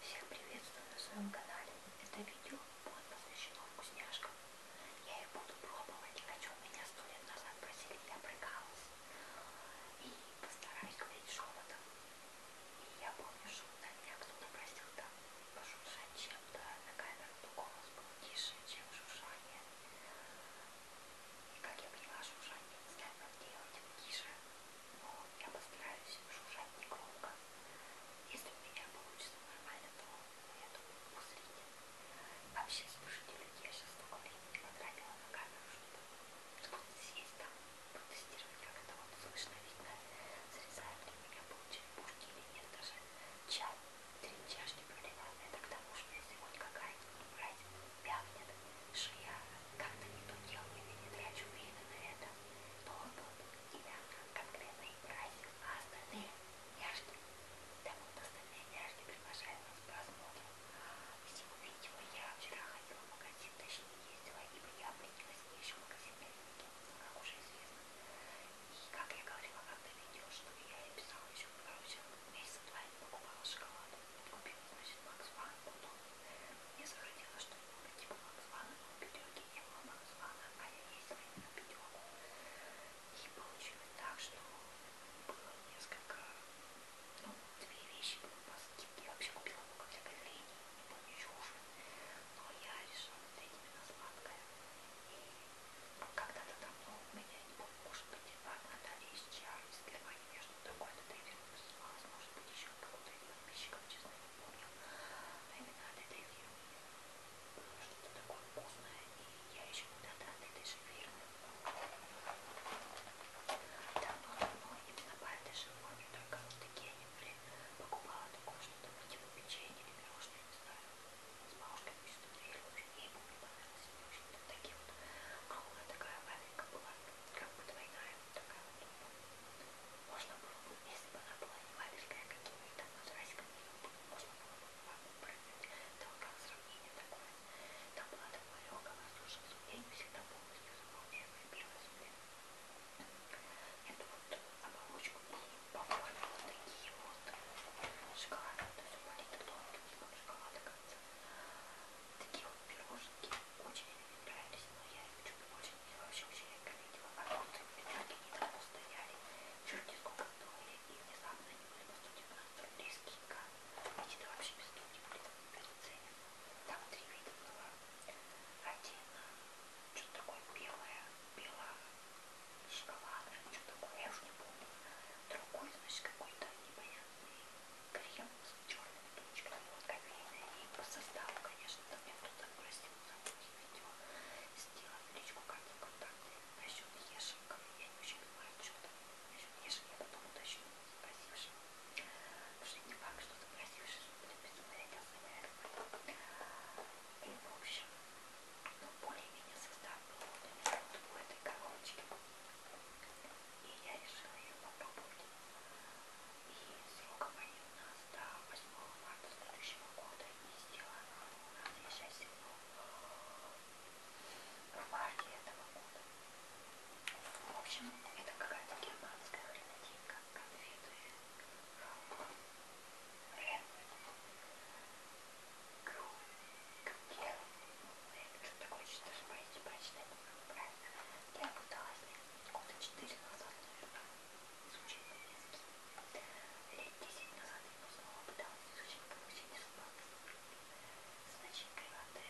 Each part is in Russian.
Всех приветствую на своем канале. Это видео будет посвящено вкусняшкам. Я их буду пробовать, о чем меня сто лет назад просили, я прыгалась. И постараюсь говорить шепотом. И я помню, что на меня кто-то просил там пошуршать чем-то на камеру, то голос был тише, чем шуршание. И как я поняла, шуршание не знаю, как делать тише но я постараюсь шуршать негромко. Если у меня получится нормально, то я думаю, усредне. Вообще, слушайте, люди, я сейчас столько времени потратила на камеру, чтобы, чтобы сесть там, протестировать, как это вот слышно, видно, срезают ли у меня получили пушки или нет, даже чай, три чашки проливаю. Это к тому, что если хоть какая-нибудь брать вянет, шея как-то не то делаю и не трачу время на это, то тут тебя конкретно играет, а остальные няшки. Так вот остальные няшки приглашают нас к просмотру. Всего видео я вчера ходила в магазин, точнее ездила, ибо я обратилась в еще магазин Белинки, как уже известно. И как я говорила как-то видео, что я и писала еще, короче, месяца два я не покупала шоколад. Купила, значит, Макс Ван, потом мне захотелось что-нибудь типа Максвана, но у пятерки не было Максвана, а я ездила именно пятерку. И получилось так, что было несколько, ну, две вещи были по скидке. Я вообще купила много всякой лени, не помню чушь. Но я решила взять именно сладкое. И когда-то давно у меня, не помню, может быть, одна Наталья из Чар из Германии помню, что такое-то Дэвид называлось, может быть, еще было 3 подписчиков, честно не помню, но именно от этой фирмы было что-то такое вкусное, и я еще когда-то от этой же фирмы давно-давно именно по этой же форме, только вот такие они были, покупала такое что-то, типа печенье или пирожное, не знаю, с бабушкой пишет дверь, уже ей помню, понравилось, в общем-то, такие вот круглая такая вафелька была, как бы двойная, такая вот. Можно было бы, если бы она была не маленькая, как у меня там вот Расика, можно было бы ванну прыгнуть. Там как сравнение такое. Там была такая легкая воздушная суммия, не всегда полностью заполняемая белая суммия. Эту вот оболочку и по форме вот такие вот шоколадные, то есть маленькие тонкие шоколады, кажется такие вот пирожки очень мне нравились, но я их чуть больше не вообще вообще редко видела. А вот пирожки не давно стояли, черти сколько стоили, и внезапно они были по 190 рублей скидка. Эти то вообще без скидки были бесценен. Там три вида было. Один, э, что-то такое белое, белое, шоколадное, что-то такое, я уж не помню. Другой, значит, какой-то непонятный крем с черными точками, он кофейный, и по составу, конечно, там я тут обрастил за видео, сделала величку карты контакты насчет ешек, я не очень понимаю, что там насчет ешек, я потом уточню запросившего, потому что не факт, что запросивший будет безумно этим заниматься. И, в общем, ну, более-менее состав был вот у этой коробочки и я решила ее попробовать. И срок моей у нас до 8 марта следующего года, и сделана она у нас, я сейчас сижу, в марте этого года. В общем, это какая-то германская хренотинка, конфеты, Кру, крукер, ну, это что такое, что-то, смотрите, прочитать правильно. Я пыталась года 4 назад, наверное, изучить немецкий. Лет 10 назад я снова пыталась изучить получение слов. С начинкой воды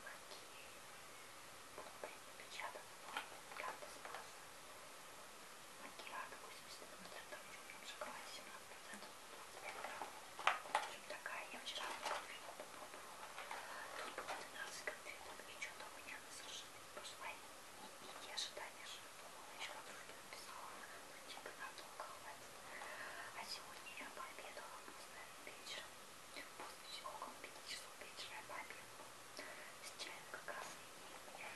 магии было напечатано, но как-то спас. Макиада 80 процентов, в шоколаде 17 процентов, 25 грамм. В общем, такая я вчера купила Тут было 12 конфеток, и что-то у меня на совершенно пошла не пить, я ожидания, что думала, еще подружке написала, ну типа надолго хватит. А сегодня я пообедала поздно вечером, после около 5 часов вечера я пообедала с чаем как раз и я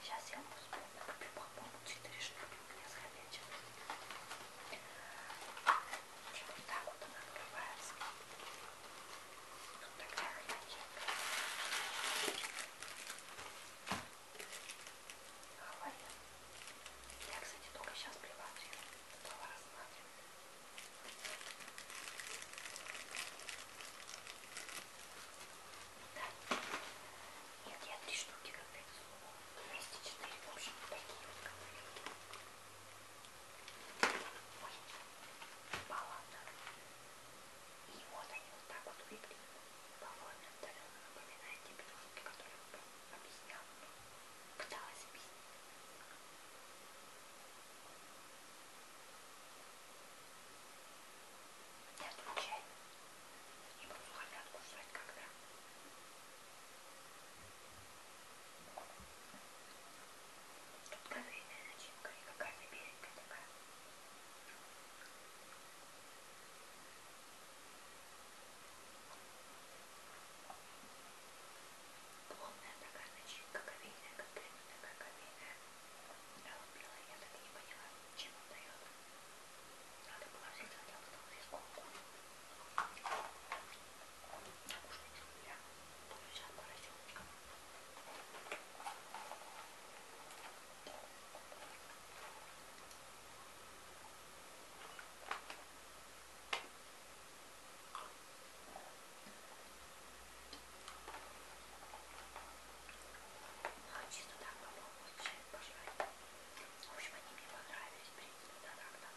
Сейчас я вам вспомню, по-моему, 4 штуки у меня с хомячим. Вот так вот она открывается. Вот такая романтика. Хватит. Я, кстати, только сейчас приватью стала рассматривать. Да. Нет, я три штуки как-то вместе четыре, в общем, такие вот конфетки. И вот они вот так вот выглядят. По-моему, отдаленно напоминает те пирожки, которые я вам объясняла. Пыталась объяснить. Не отвечай. Не буду сухаря откусывать когда. Тут кофейная начинка и какая-то беленькая такая. Плотная такая начинка кофейная, как прямо такая кофейная. Да, вот белая, я так и не поняла, чем он дает. Надо было взять вот эту вот рисунку. Наушники у меня друзья поросенка. Хочу туда попробовать чай пожарить. В общем, они мне понравились, в принципе, да, так, да.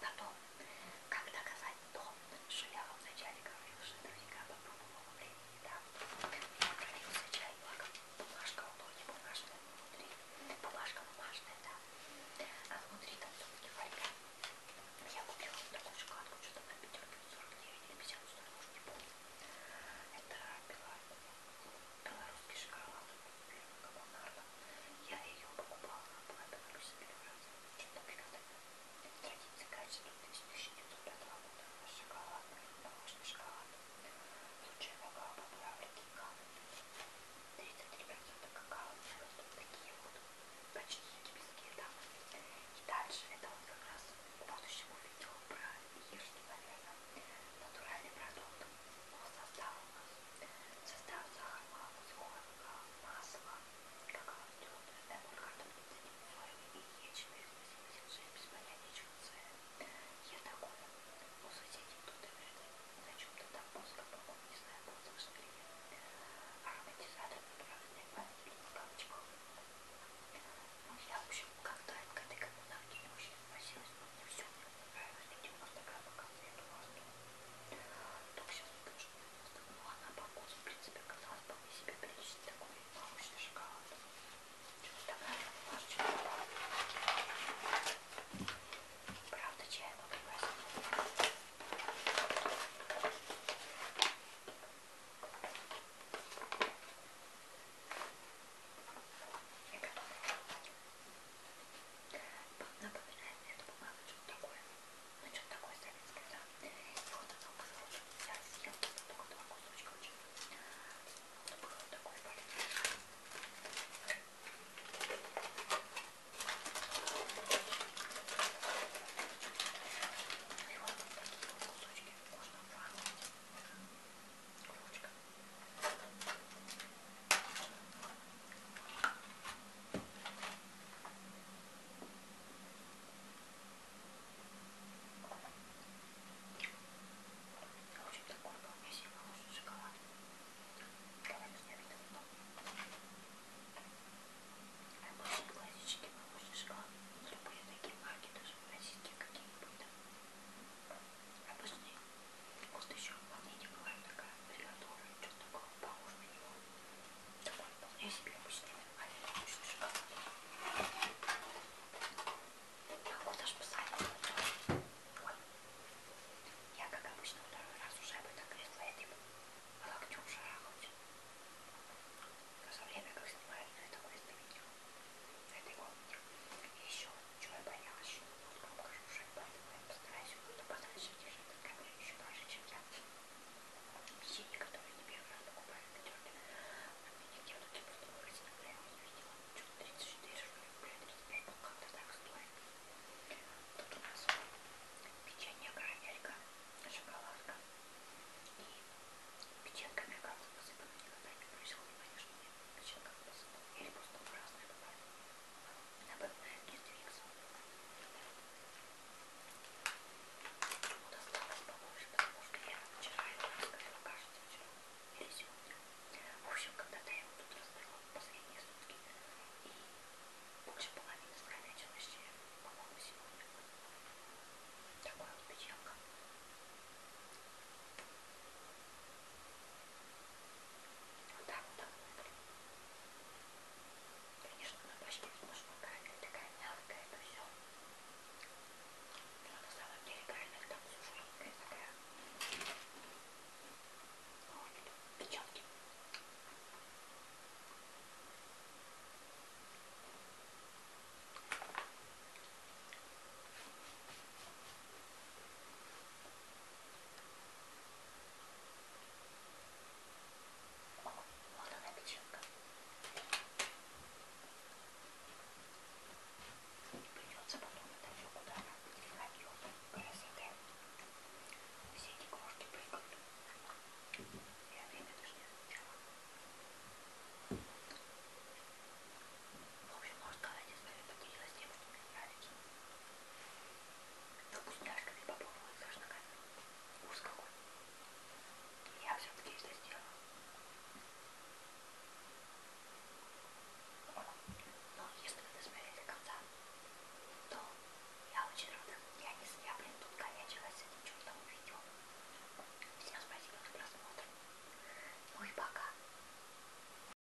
Потом, как доказать то, что я вам вначале говорил, что наверняка по пробовала времени, да? Я пролился чай, бумажка, у ноги бумажная а внутри, бумажка бумажная, да? А внутри там все-таки фольга. Я купила вот такую шоколадку, что-то на пятерке 49 или 50, что-то уже не помню. Это пила белорусский шоколад первый коммунарно. Я ее покупала, она была белорусом первый раз. Что-то пикантное. Традиция качества 1905 года. Шоколад, молочный шоколад. Лучшая какао по Африке и Канаде. 33% какао. Тут такие вот почти египетские, да. И дальше это вот как раз к будущему видео про ешки, наверное. Натуральный продукт. Он создал у нас Состав сахара, мускорка, масло, какао, тёрный, эмуль, картофельный соевый и яичный, 86, без понятия Я такой, у ну, соседей тут и вряд ли на чем-то там мозга, по-моему, не знаю, был слышно ли я. Ароматизатор направленный память в кавычках. Ну, я, в общем, как-то к этой коммунарке не очень относилась, но мне все 190 грамм конфет Ласту. Только сейчас потому что 90 грамм. Ну, она по вкусу, в принципе, казалось вполне себе приличный такой молочный шоколад. Чего-то такая бумажечка. Правда, чай много красивый. И готовы. Напоминает мне эту бумагу, что-то такое. Ну, что-то такое советское, да. И вот она кусочек. Я съела только два кусочка очень. Вот было вот такое полезное. И вот такие вот кусочки можно варить. Булочка. В общем, такой был у меня сегодня хороший шоколад. Давайте я видел потом. Обычный классический молочный шоколад. Любые такие марки, даже российские какие-нибудь обычный. Вот еще вполне не бывает такая приготовка, что-то такое похоже на него. Такой вполне себе обычный а обычный шоколад. Могу даже посадить. Ой. Я, как обычно, второй раз уже об этом кресло этим типа, локтем шарахнуть. За время, как снимаю на ну, это видео, на этой комнате. И еще чего я боялась, что он будет громко шуршать, поэтому я постараюсь его подальше держать от камеры еще дольше, чем я. Печенье, которое не первый раз покупаю в пятерке, а от меня делают просто выразительно, я его не видела. Что-то 34, что ли, блядь, 35, ну как-то так стоит. Тут у нас печенье карамелька, шоколадка и печенька американцев посыпана никогда не происходит, конечно, нет печенька посыпана или просто красная добавила. Наверное, не двигаться. Ему досталось побольше, потому что я вчера его раскрыла, кажется, вчера или сегодня. В общем, когда-то я его тут раскрыла последние сутки. И больше половины скромячилась, по-моему, сегодня. Такая вот печенка. Вот так вот выглядит. Конечно, на почти немножко камера такая мягкая, это все. Но на самом деле реально там все жесткая такая. Вот, печатки. Ой, Вон она печенка. Придется потом это все куда-то переходить. Красота. Все эти крошки прыгают. Я время даже не замечала. В общем, можно сказать, история поделилась тем, что мне нравится. Но вкусняшками попробовать с ногами. Вкус какой. Я все-таки это сделала. Но если вы досмотрели до конца, то я очень рада. Я не я, блин, тут конячилась с этим чертовым видео. Всем спасибо за просмотр. Ну и пока.